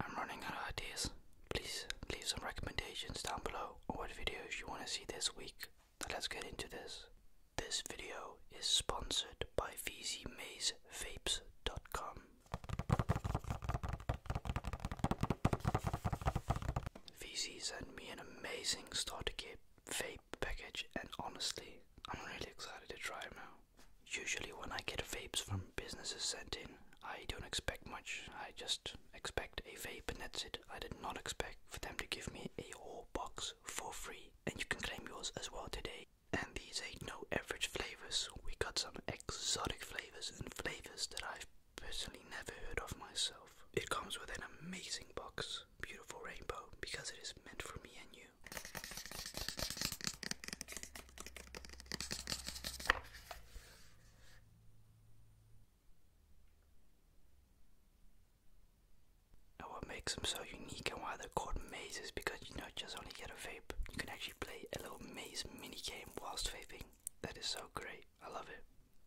I'm running out of ideas. Please leave some recommendations down below on what videos you want to see this week. let's get into this. This video is sponsored by VZMazeVapes.com. VZ sent me an amazing starter kit vape package, and honestly, I'm really excited to try it out. Usually, when I get vapes from businesses sent in, I don't expect much. I just expect a vape and that's it. I did not expect for them to give me a whole box for free. And you can claim yours as well today. And these ain't no average flavors. We got some exotic flavors and flavors that I've personally never heard of myself. It comes with an amazing box, beautiful rainbow, because it is meant for me and you. And what makes them so unique and why they're called mazes because you don't just only get a vape, you can actually play a little maze mini game whilst vaping. That is so great, I love it.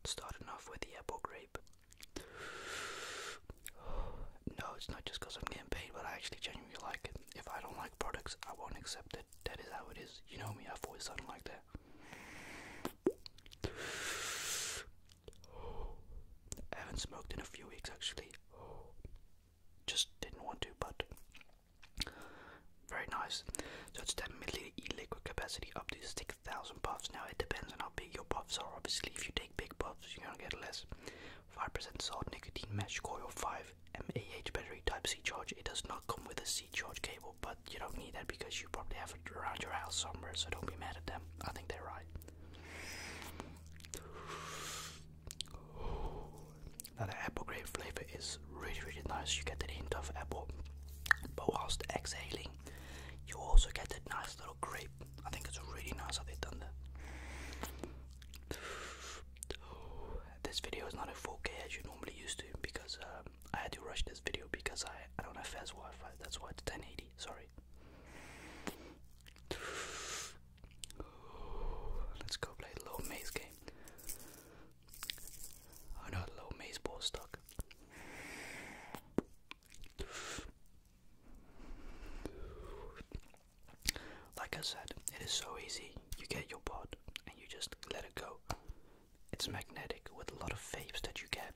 Starting off with the apple grape. No, it's not just because I'm getting paid, but I actually genuinely like it. If I don't like products, I won't accept it. That is how it is. You know me, i always something like that. I haven't smoked in a few weeks actually. Just didn't want to, but very nice. So it's definitely milliliter liquid capacity up to 6,000 puffs. Now it depends on how big your puffs are. Obviously, if you take big puffs, you're gonna get less. 5% salt nicotine mesh coil 5 mAh battery type C charge. It does not come with a C charge cable, but you don't need that because you probably have it around your house somewhere, so don't be mad at them. I think they're right. Now apple grape flavor is really really nice. You get the hint of apple, but whilst exhaling, you also get that nice little grape. I think it's really nice how they've done that. This video is not in 4K as you normally used to because um, I had to rush this video because I, I don't have fast Wi Fi, that's why it's 1080. Sorry. Let's go play a little maze game. Oh no, low maze ball stuck. Like I said, it is so easy. You get your pod and you just let it go. It's magnetic with a lot of vapes that you get.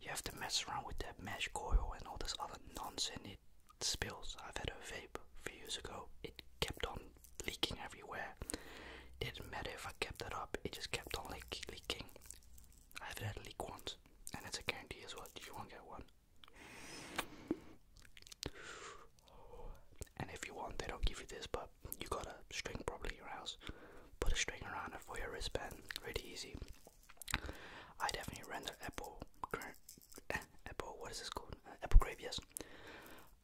You have to mess around with that mesh coil and all this other nonsense. It spills. I've had a vape a few years ago. It kept on leaking everywhere. Didn't matter if I kept that up. It just kept on leak leaking. I've had leak once, and it's a guarantee as well. You won't get one. And if you want, they don't give you this, but you got a string probably in your house. Put a string around it for your wristband. Really easy. I definitely render apple, apple. What is this called? Uh, apple grape.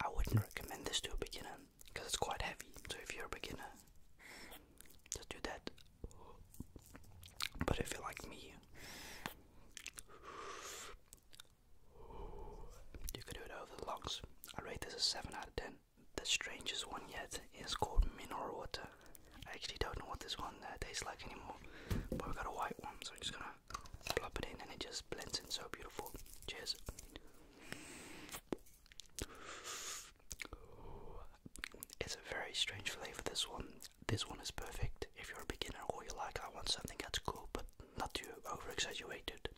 I wouldn't hmm. recommend this to a beginner because it's quite heavy. So if you're a beginner, just do that. But if you're like me, you could do it over the lungs. I rate this a 7 out of 10. The strangest one yet is called mineral water. I actually don't know what this one uh, tastes like anymore, but we have got a white one, so I'm just gonna plop it in and it just blends in so beautiful. Cheers. It's a very strange flavor, this one. This one is perfect if you're a beginner or you like, I want something that's cool but not to over it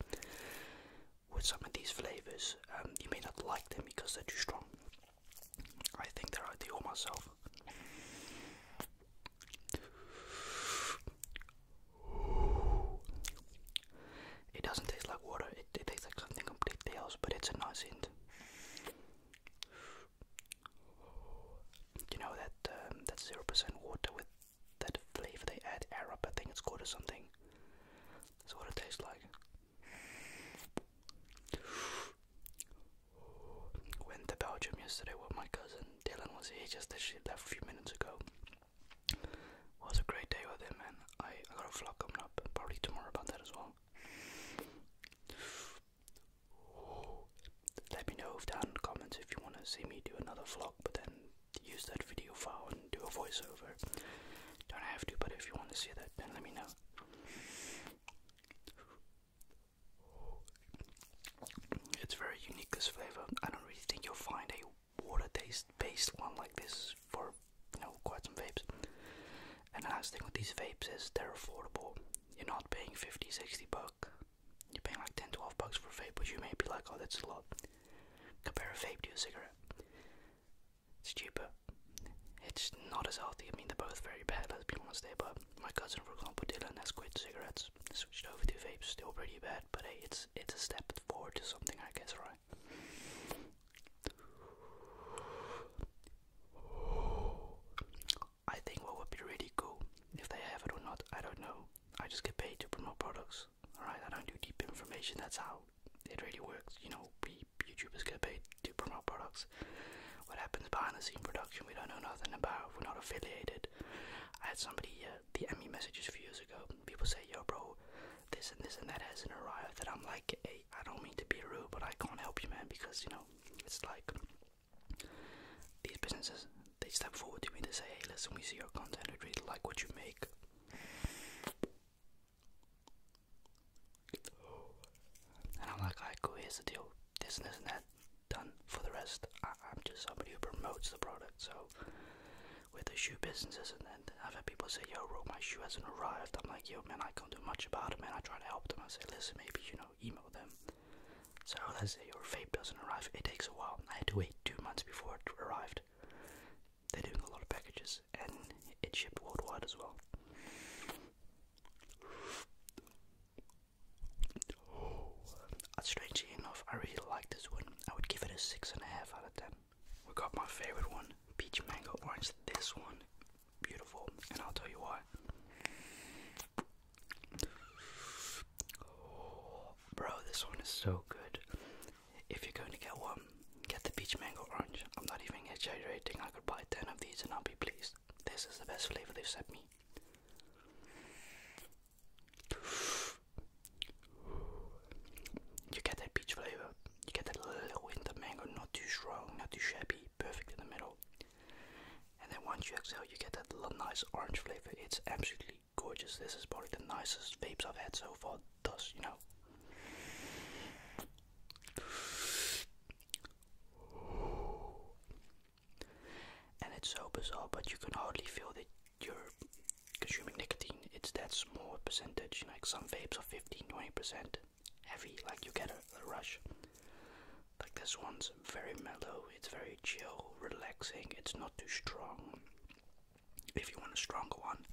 with some of these flavors. Um, you may not like them because they're too strong. I think they're ideal myself. It doesn't taste like water, it, tastes like something completely else, but it's a nice hint. You know that um, that zero percent water with that flavor they add Arab, I think it's called or something. That's what it tastes like. Went to Belgium yesterday with my cousin Dylan was here just literally a few minutes ago. was a great day with him and I got a vlog coming up probably tomorrow about that as well. Let me know down in the comments if you want to see me do another vlog, but then use that video file and do a voiceover. Don't have to, but if you want to see that, then let me know. It's very unique, this flavor. I don't really think you'll find a water taste based one like this for you know quite some vapes. And the nice thing with these vapes is they're affordable. You're not paying 50, 60 bucks you're paying like 10 12 bucks for a vape, but you may be like, oh, that's a lot. Compare a vape to a cigarette. It's cheaper. It's not as healthy. I mean, they're both very bad, let's be honest there. But my cousin, for example, and has quit cigarettes, switched over to vapes, still pretty bad. But hey, it's, it's a step forward to something, I guess, right? I think what would be really cool, if they have it or not, I don't know. I just get paid to promote products, alright? I don't do deep information, that's how it really works. You know, YouTubers get paid to promote products. What happens behind the scene production, we don't know nothing about, we're not affiliated. I had somebody uh, the DM me messages a few years ago, people say, yo bro, this and this and that hasn't arrived, that I'm like, hey, I don't mean to be rude, but I can't help you man, because, you know, it's like, these businesses, they step forward to me to say, hey, listen, we see your content, we really like what you make. And I'm like, alright, cool, here's the deal. This and this and that, done. For the rest, I I'm just somebody who promotes the product. So, with the shoe businesses, and then I've had people say, yo, bro, my shoe hasn't arrived. I'm like, yo, man, I can't do much about it, man. I try to help them. I say, listen, maybe, you know, email them. So let's say your vape doesn't arrive, it takes a while. I had to wait two months before it arrived. They're doing a lot of packages and it shipped worldwide as well. Oh, strangely enough, I really like this one. I would give it a six and a half out of ten. We got my favorite one, peach mango orange. This one, beautiful, and I'll tell you why. Bro, this one is so good. If you're going to get one, get the peach mango orange. I'm not even exaggerating. I could buy 10 of these and I'll be pleased. This is the best flavor they've sent me. You get that peach flavor. You get that little hint of mango, not too strong, not too shabby, perfect in the middle. And then once you exhale, you get that little nice orange flavor. It's absolutely gorgeous. This is probably the nicest vape I've had so far, thus, you know. And it's so bizarre, but you can hardly feel that you're consuming nicotine. It's that small percentage. Like some vapes are 15 20%. Heavy, like you get a rush. Like this one's very mellow, it's very chill, relaxing, it's not too strong. If you want a stronger one,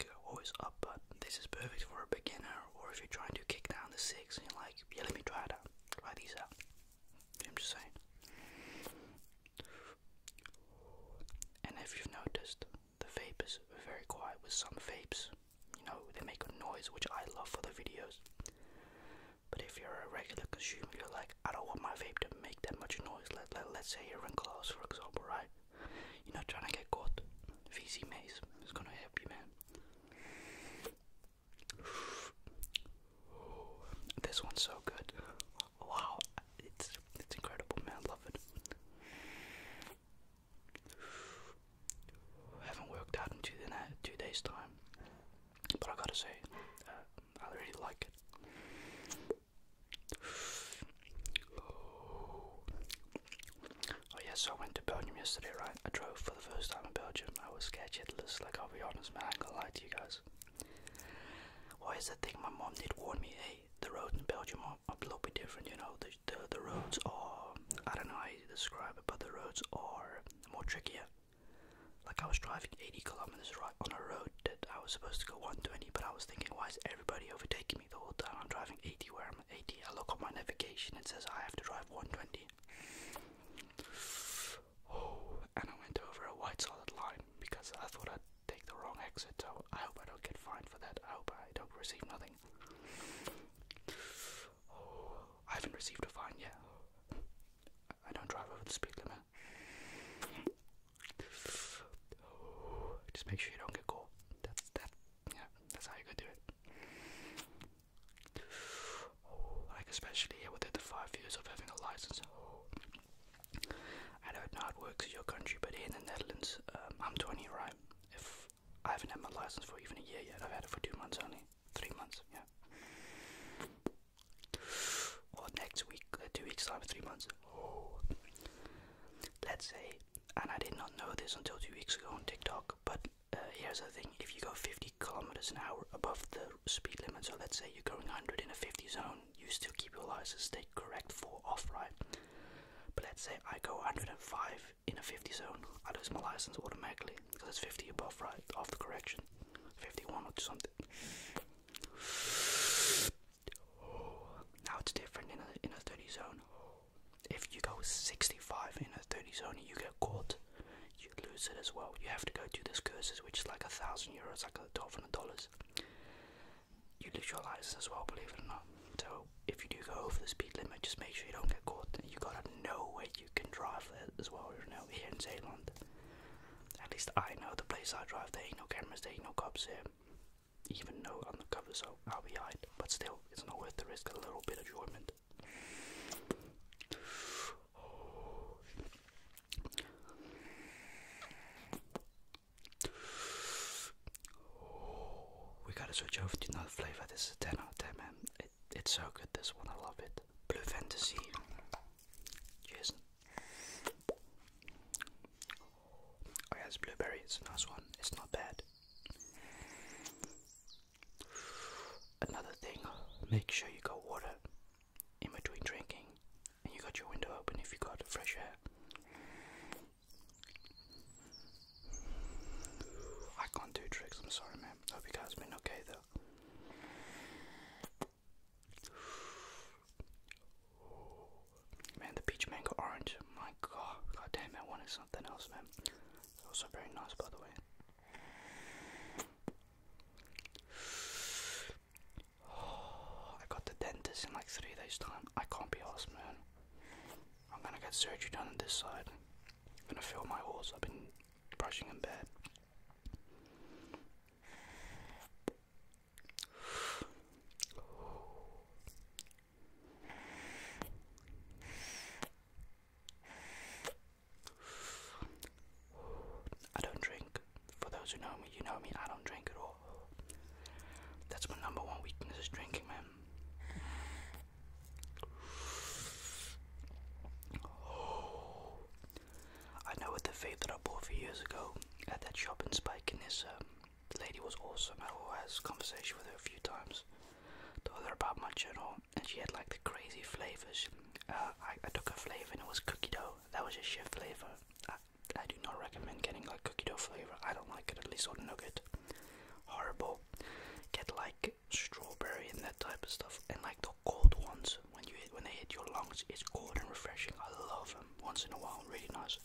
you always up, but this is perfect for a beginner or if you're trying to kick down the six and you're like, yeah, let me try it Try these out. I'm just saying. And if you've noticed, the vape is very quiet with some vapes you know, they make a noise which I love for the videos. But if you're a regular consumer, you're like, I don't want my vape to make that much noise. Let, let, let's say you're in class, for example, right? You're not trying to get caught. VC Maze is gonna help you, man. This one's so good. Wow, it's it's incredible, man. I love it haven't worked out in two, days' time. But I gotta say, uh, I really like it. Oh. yes, I went to Belgium yesterday, right? I drove for the first time in Belgium. I was sketchy shitless, like I'll be honest, man, I am gonna lie to you guys. Why is that thing? My mom did warn me, hey, the road in Belgium are, a little bit different, you know. The, the the roads are I don't know how you describe it, but the roads are more trickier. Like I was driving 80 kilometers right on a road that I was supposed to go 120, but I was thinking, why is everybody overtaking me the whole time? I'm driving 80 where I'm 80. I look at my navigation, it says I have to drive 120. and I went over a white solid line because I thought I'd take the wrong exit. So I hope I don't get fined for that. I hope I don't receive nothing. I haven't received a fine yet. I don't drive over the speed limit. Just make sure you don't get caught. That's that. Yeah, that's how you go do it. Like especially here within the five years of having a license. I don't know how it works in your country, but here in the Netherlands, um, I'm 20, right? If I haven't had my license for even a year yet, I've had it for two months only three months, yeah. Or next week, uh, two weeks time, three months. Oh. Let's say, and I did not know this until two weeks ago on TikTok, but uh, here's the thing: if you go 50 kilometers an hour above the speed limit, so let's say you're going 100 in a 50 zone, you still keep your license, stay correct for off-ride. But let's say I go 105 in a 50 zone, I lose my license automatically because it's 50 above, right? After correction, 51 or something. Now it's different in a, in a 30 zone. If you go 65 in a 30 zone you get caught, you lose it as well. You have to go do the curses, which is like a thousand euros, like a twelve hundred dollars. You lose your license as well, believe it or not. So if you do go over the speed limit, just make sure you don't get caught. You gotta know where you can drive there as well, you know, here in Zealand. At least I know the place I drive, there ain't no cameras, there ain't no cops here. Even no undercover. so I'll be hide. But still, it's not worth the risk, a little bit of enjoyment. we gotta switch over to another flavour. This is 10 out 10, man. It's so good, this one. I love it. Blue Fantasy. Cheers. Oh, blueberry. It's a nice one. It's not bad. Another thing, make sure you got water in between drinking you got your window open if you got fresh air. I can't do tricks, I'm sorry, man. Hope you guys been okay, though. Man, the peach mango orange. My god, god damn, I wanted something else, man. also very nice, by the way. I got the dentist in like three days' time. I can't be asked, man. I'm gonna get surgery done on this side. I'm gonna fill my horse. I've been brushing in bed. I don't drink. For those who know me, you know me, I don't drink at all. That's my number one weakness is drinking, man. I know with the vape that I bought a few years ago at that shop in Spike, and this um, lady was awesome. I had a conversation with her a few times, told her about my channel, and she had like the crazy flavors. Uh, I, took a flavor and it was cookie dough. That was a shit flavor. I, I do not recommend getting like cookie dough flavor. I don't like it, at least on Nugget. Horrible. Get like strawberry and that type of stuff. And like the cold ones, when you hit, when they hit your lungs, it's cold and refreshing. I love them. Once in a while, really nice.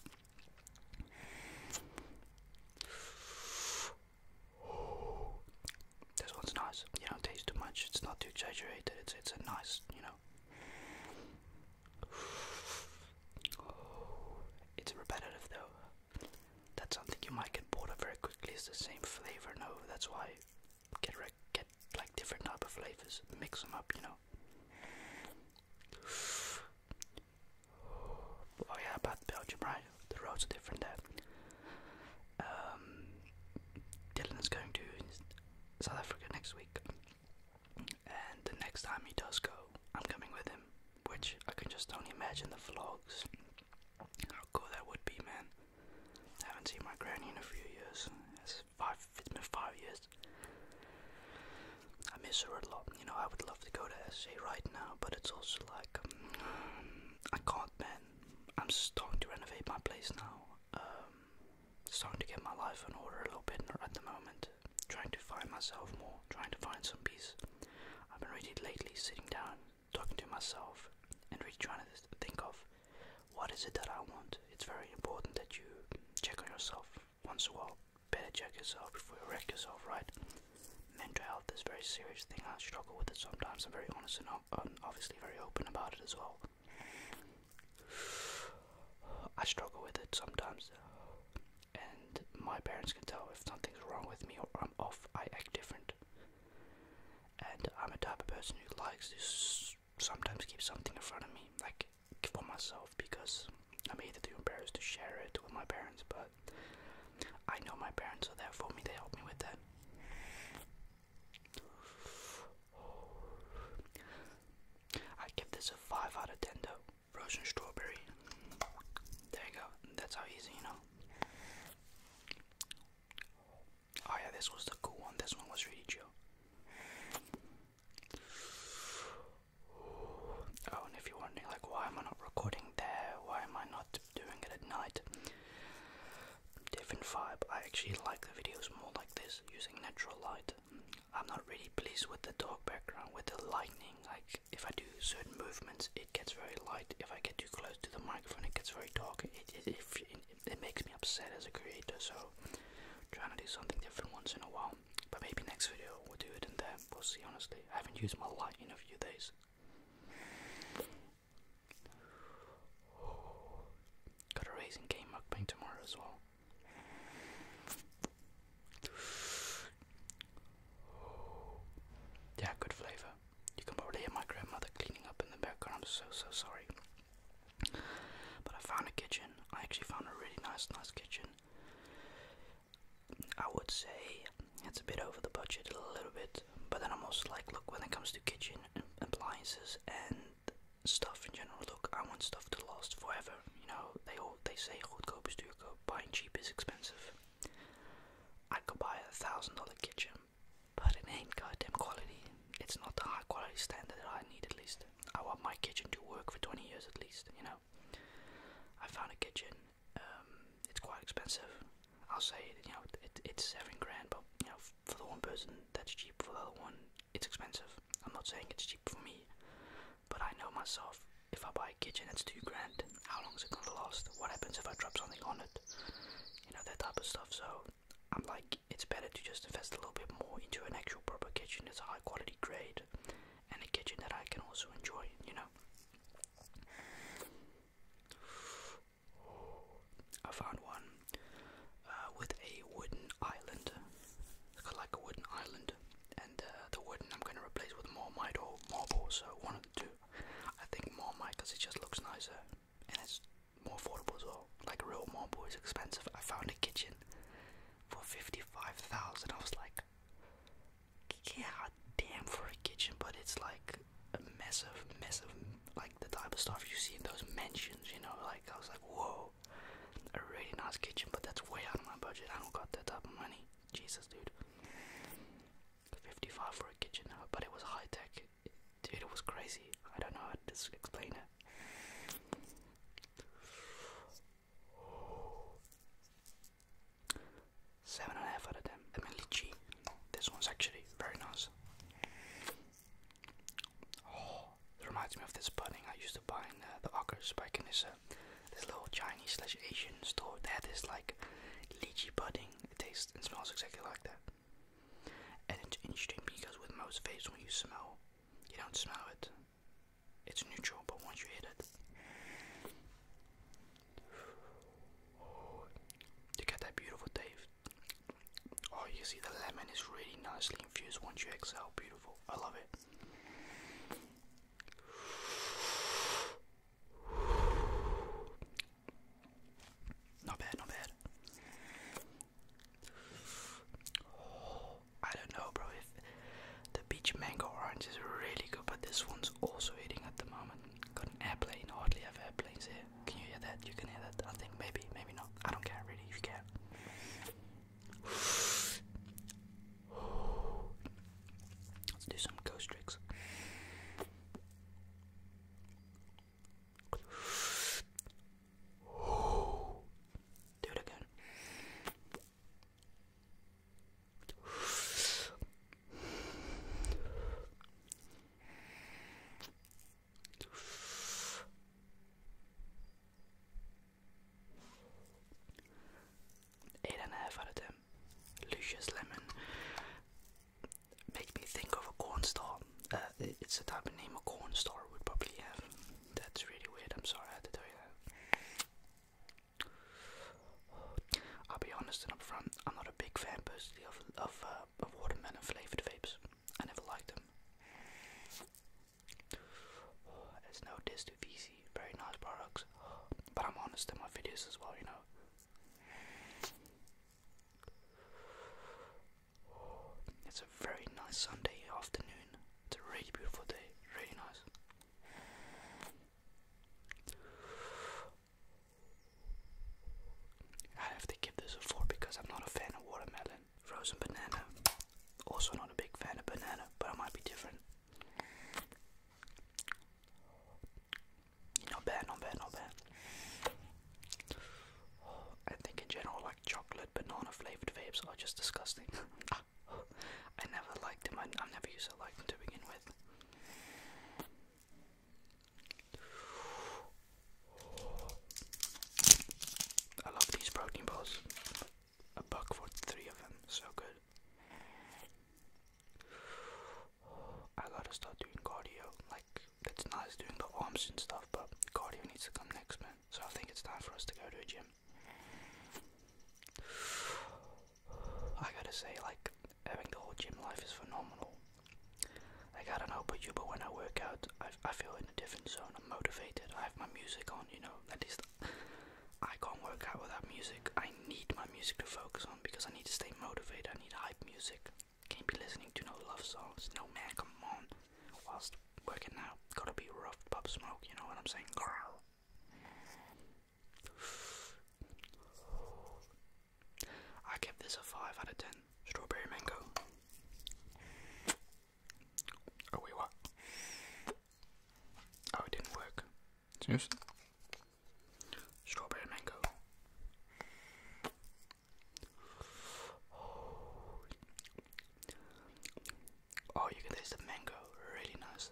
This one's nice. You don't taste too much. It's not too exaggerated. It's it's a nice, you know. It's repetitive though that's something you might get bored of very quickly. It's the same flavor, no? That's why get get like different type of flavors, mix them up, you know. Oh yeah, about Belgium, right? The roads are different there. Um, Dylan is going to South Africa next week, and the next time he does go, I'm coming with him, which I can just only imagine the vlogs how cool that would be, man. I haven't seen my granny in a few years. it it's been five years. I miss her a lot. You know, I would love to go to SA right now, but it's also like, um, I can't, man. I'm starting to renovate my place now. Um, starting to get my life in order a little bit at the moment. Trying to find myself more, trying to find some peace. I've been reading lately, sitting down, talking to myself, and really trying to think of what is it that I want. It's very important that you check on yourself once in a while. Better check yourself before you wreck yourself, right? Mental health is a very serious thing. I struggle with it sometimes. I'm very honest and obviously very open about it as well. I struggle with it sometimes and my parents can tell if something's wrong with me or I'm off. I act different, and I'm a type of person who likes to sometimes keep something in front of me, like for myself, because I'm either too embarrassed to share it with my parents, but I know my parents are there for me. They help me with that. I give this a 5 out of 10 though. Frozen strawberry. There you go. That's how easy, you know. Oh yeah, this was the cool one. This one was really chill. Oh, and if you're wondering, like, why am I not recording there? Why am I not doing it at night? Different vibe. I actually like the videos more like this, using natural light. I'm not really pleased with the dark background, with the lightning. Like, if I do certain movements, it gets very light. If I get too close to the microphone, it gets very dark. It makes me upset as a creator. So I'm trying to do something different once in a while. But maybe next video we'll do it in there. We'll see. Honestly, I haven't used my light in a few days. Got a racing game mukbang tomorrow as well. Yeah, good flavor. You can probably hear my grandmother cleaning up in the background. I'm so so sorry. But I found a kitchen. I actually found a really nice, nice kitchen. I would say it's a bit over the budget a little bit, but then I'm also like, look, when it comes to kitchen appliances and stuff in general, look, I want stuff to last forever. You know, they all they say goedkoop is duurkoop, buying cheap is expensive. I could buy a thousand dollar kitchen, but it ain't goddamn quality. It's not the high quality standard that I need at least. I want my kitchen to work for 20 years at least, you know. I found a kitchen, um, it's quite expensive. I'll say, you know, it's seven grand, but, you know, for the one person, that's cheap. For the other one, it's expensive. I'm not saying it's cheap for me. But I know myself, if I buy a kitchen, it's two grand. How long is it gonna last? What happens if I drop something on it? You know, that type of stuff. So I'm like, it's better to just invest a little bit more into an actual proper kitchen that's a high quality grade and a kitchen that I can also enjoy, you know. I found one uh, with a wooden island. It's like a wooden island, uh, the wooden I'm going to replace with more mite marble, so one of two. I think more mite because it just looks nicer and it's more affordable Like real marble is expensive. I found a kitchen for 55,000. I was like, yeah, damn for a kitchen, but it's like a mess of, like the type of stuff you see in those mansions, you know? Like, I was like, whoa, a really nice kitchen, but that's way out of my budget. I don't got that type of money. Jesus, dude. 55 for a kitchen, but it was high tech. It, dude, it was crazy. I don't know how to explain it. Seven and a half out of ten. I This one's actually very nice. it oh, reminds me of this pudding I used to buy in uh, the Ockers back in so this little Chinese slash Asian store, they had this like lychee pudding. It tastes and smells exactly like that. And it's interesting because with most vapes, when you smell, you don't smell it. It's neutral, but once you hit it, you get that beautiful taste. Oh, you see the lemon is really nicely infused once you exhale. Beautiful. I love it. Not bad, not bad. I don't know, bro. the peach mango orange is really good, but this one's also eating at the moment. Got an airplane. Hardly have airplanes here. Can you hear that? You can hear that. I think maybe, maybe not. I don't care really. If you can. Let's do some ghost tricks. Do it again. Eight and a half out of ten. Lucius Lemon makes me think of a corn star. Uh, it's the type of name a corn star would probably have. That's really weird. I'm sorry I had to tell you that. I'll be honest and upfront. I'm not a big fan personally of of, uh, of watermelon flavored vapes. I never liked them. There's no diss to VC very nice products. But I'm honest in my videos as well, you know. It's a very nice Sunday afternoon. It's a really beautiful day, really nice. I have to give this a 4 because I'm not a fan of watermelon. Frozen banana. Also, not a big fan of banana, but I might be different. No bad, no bad, no bad. I think in general, like chocolate banana flavored vapes are just disgusting. I never liked them. I, never used to like them to begin with. I love these protein bars a buck for three of them. So good. I gotta start doing cardio. Like, it's nice doing the arms and stuff, but cardio needs to come next, man. So I think it's time for us to go to a gym. I gotta say, like, having the whole gym life is phenomenal. Like, I don't know about you, but when I work out, I, I feel in a different zone. I'm motivated. I have my music on, you know. At least I can't work out without music. I need my music to focus on because I need to stay motivated. I need hype music. Can't be listening to no love songs. No man, come on. Whilst working out, gotta be rough pop smoke, you know what I'm saying? Girl. I give this a 5 out of 10. Strawberry mango. Oh, wait, what? Oh, it didn't work. Seriously? Strawberry mango. Oh. you can taste the mango. Really nice.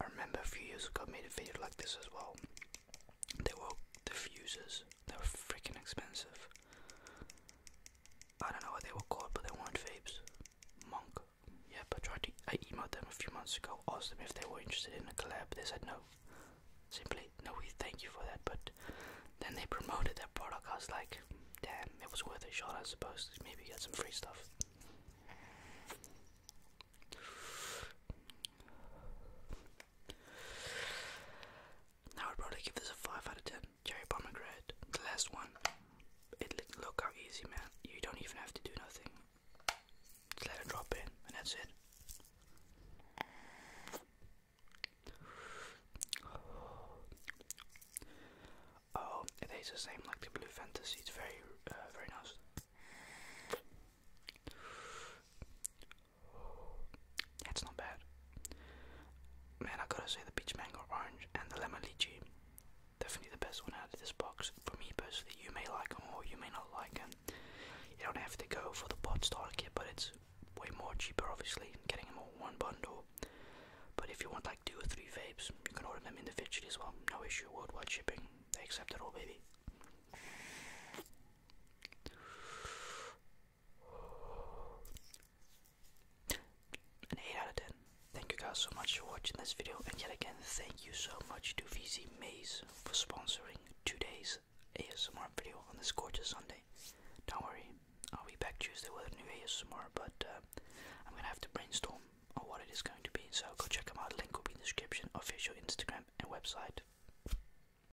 I remember a few years ago I made a video like this as well. They were diffusers they were freaking expensive. I don't know what they were called, but they weren't faves. Monk. Yep, I tried to. I emailed them a few months ago, asked them if they were interested in a collab. They said no. Simply, no, we thank you for that. But then they promoted their product. like, damn, it was worth a shot, I suppose. Maybe get some free stuff. I would probably give this a 5 out of 10. Cherry pomegranate. The last one. It Look how easy, man. You don't even have to do nothing. Just let it drop in, and that's it. Oh, it tastes the same like the Blue Fantasy. It's very, uh, very nice. That's not bad. Man, I gotta say the peach mango orange and the lemon lychee. Definitely the best one out of this box for me personally. You may like them or you may not like it. You don't have to go for the pot starter kit, but it's way more cheaper, obviously, getting them all one bundle. But if you want like two or three vapes, you can order them individually as well. No issue, worldwide shipping. They accept it all, baby an 8 out of 10. Thank you guys so much for watching this video, and yet again, thank you so much to VC Maze for sponsoring today's ASMR video on this gorgeous Sunday. Don't worry, I'll be back Tuesday with a new ASMR, but uh, I'm gonna have to brainstorm on what it is going to be, so go check them out. Link will be in the description, official Instagram, and website.